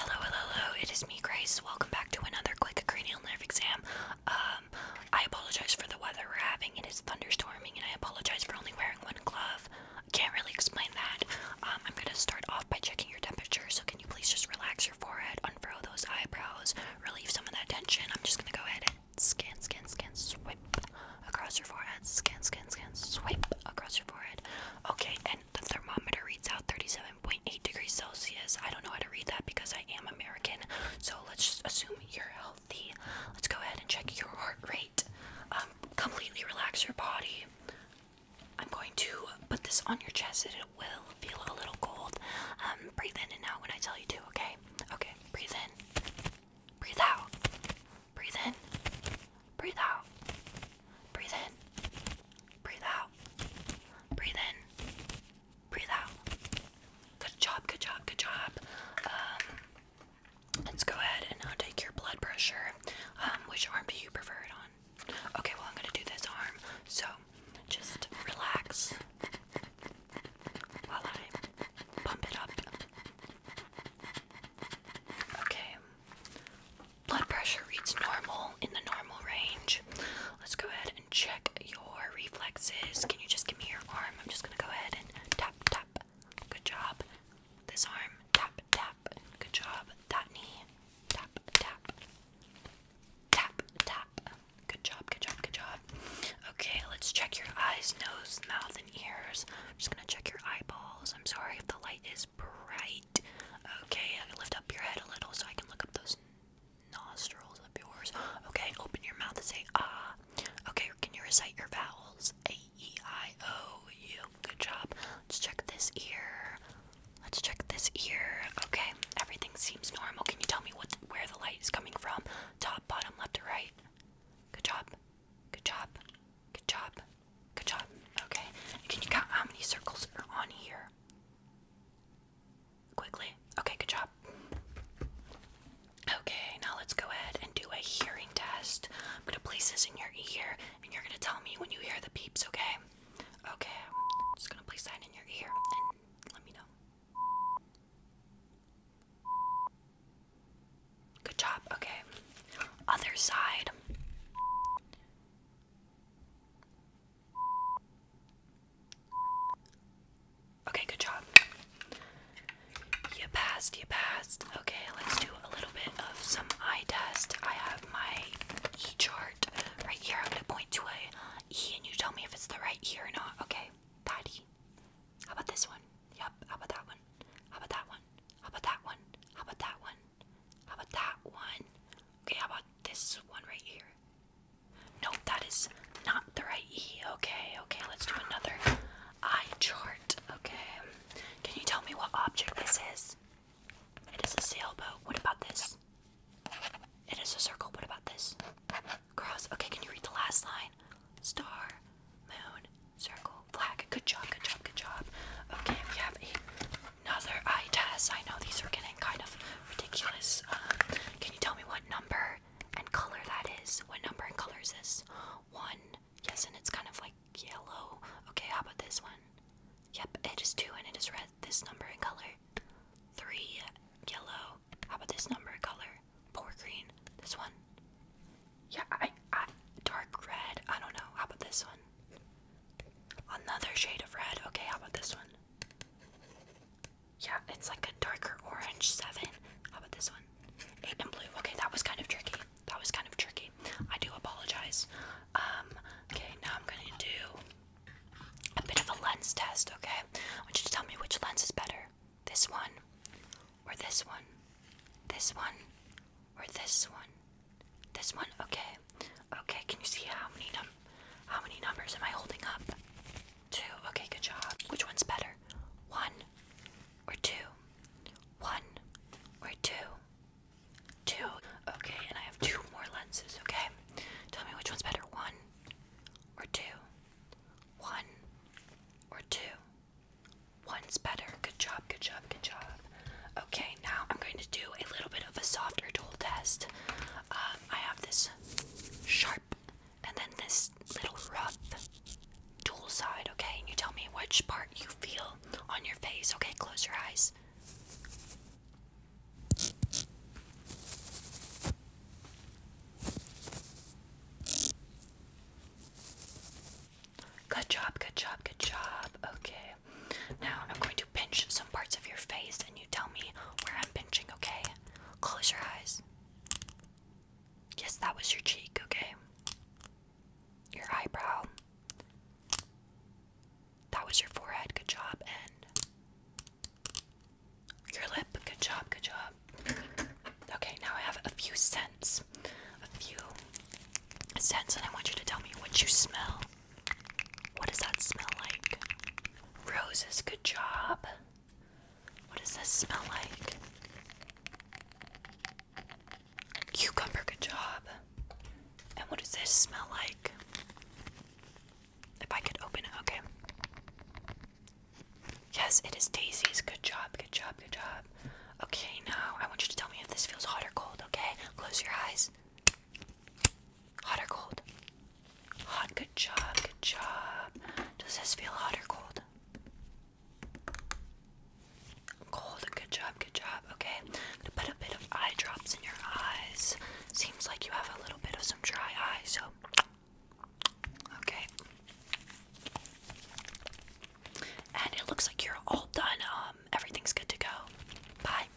Hello, hello, hello. It is me, Grace. Welcome back to another quick cranial nerve exam. Um, I apologize for the weather we're having. It is thunderstorming, and I apologize for only wearing one glove. I can't really explain that. Um, I'm gonna start off by checking your temperature. So can you please just relax your forehead, unfurl those eyebrows, relieve some of that tension? I'm just gonna go ahead and scan, scan, scan, swipe across your forehead. Scan, scan, scan, swipe across your forehead. Okay, and the thermometer reads out 37.6 Eight degrees Celsius. I don't know how to read that because I am American. So let's just assume you're healthy. Let's go ahead and check your heart rate. Um, completely relax your body. I'm going to put this on your chest it will feel a little cold. Um, breathe in and out when I tell you to, okay? Okay, breathe in. Breathe out. Breathe in. Breathe out. Breathe in. Breathe out. Breathe in. Breathe out. Good job, good job, good job. Um, let's go ahead and now uh, take your blood pressure. Um, which arm do you prefer it on? Okay, well, I'm gonna do this arm. So just relax while I pump it up. Okay. Blood pressure reads normal in the normal range. Let's go ahead and check your reflexes. Can you just give me your arm? I'm just gonna go ahead and tap, tap. Good job. This arm, tap, tap. Good job. That knee, tap, tap. Tap, tap. Good job, good job, good job. Okay, let's check your eyes, nose, mouth, and ears. I'm just gonna check your eyeballs. I'm sorry if the light is bright. Great. Okay, lift up your head a little so I can look up those nostrils of yours. Okay, open your mouth and say ah. Okay, can you recite your vowels? A E I O U. Good job. Let's check this ear. Let's check this ear. Okay, everything seems normal. Can you tell me what where the light is coming from? Top, bottom, left, or right? Good job. Good job. Good job. Good job. Okay. Can you count how many circles are on here? Quickly? Okay, good job. Okay, now let's go ahead and do a hearing test. I'm gonna place this in your ear and you're gonna tell me when you hear the beeps, okay? Okay, just gonna place that in your ear and let me know. Good job, okay. Other side. Okay, good job. You passed, you passed. Okay, let's do a little bit of some eye test. I have my E chart right here. I'm gonna point to a E and you tell me if it's the right E or not. Okay, that How about this one? Yep, how about that one? How about that one? How about that one? How about that one? How about that one? Okay, how about this one right here? Nope, that is not the right E. Okay, okay, let's do another eye chart. Okay, can you tell me what object this is? It is a sailboat. What about this? It is a circle. What about this? Cross. Okay, can you read the last line? Star, moon, circle, flag. Good job, good job, good job. Okay, we have a another eye test. I know these are getting kind of ridiculous. Um, can you tell me what number and color that is? What number and color is this? One. Yes, and it's kind of like yellow. Okay, how about this one? Yep, it is two and it is red. This number and color. Three, yellow. How about this number and color? Four, green. This one? Yeah, I, dark red. I don't know. How about this one? Another shade of red. Okay, how about this one? Yeah, it's like a darker orange. Seven. How about this one? Eight and blue. Okay, that was kind of tricky. That was kind of tricky. I do apologize. Um, okay, now I'm gonna do a bit of a lens test, okay? I want you to tell me which lens is better. This one or this one. This one or this one. This one? Okay. Okay, can you see how many num how many numbers am I holding up? Two. Okay, good job. Which one's better? One or two? One or two? Two. Okay, and I have two more lenses, okay? Tell me which one's better. One or two? One or two? One's better. Good job, good job, good job. Okay, now I'm going to do a little bit of a softer tool test. Um, I have this sharp and then this little rough tool side, okay? And you tell me which part you feel on your face, okay? Close your eyes. Good job, good job, good job. Okay. Now I'm going to pinch some parts of your face and you tell me where I'm pinching, okay? Close your eyes. Yes, that was your cheek, okay? Your eyebrow. That was your forehead, good job, and your lip, good job, good job. Okay, now I have a few scents. A few scents, and I want you to tell me what you smell. What does that smell like? Roses, good job. What does this smell like? Cucumber, good job. And what does this smell like? If I could open it, okay. Yes, it is daisies. Good job, good job, good job. Okay, now I want you to tell me if this feels hot or cold, okay? Close your eyes. Hot or cold? Hot, good job, good job. Does this feel hot or cold? Cold, good job, good job. Okay, I'm gonna put a bit of eye drops in your eyes. Seems like you have a little bit of some dry eyes. so. Okay. And it looks like you're all done. Um, everything's good to go. Bye.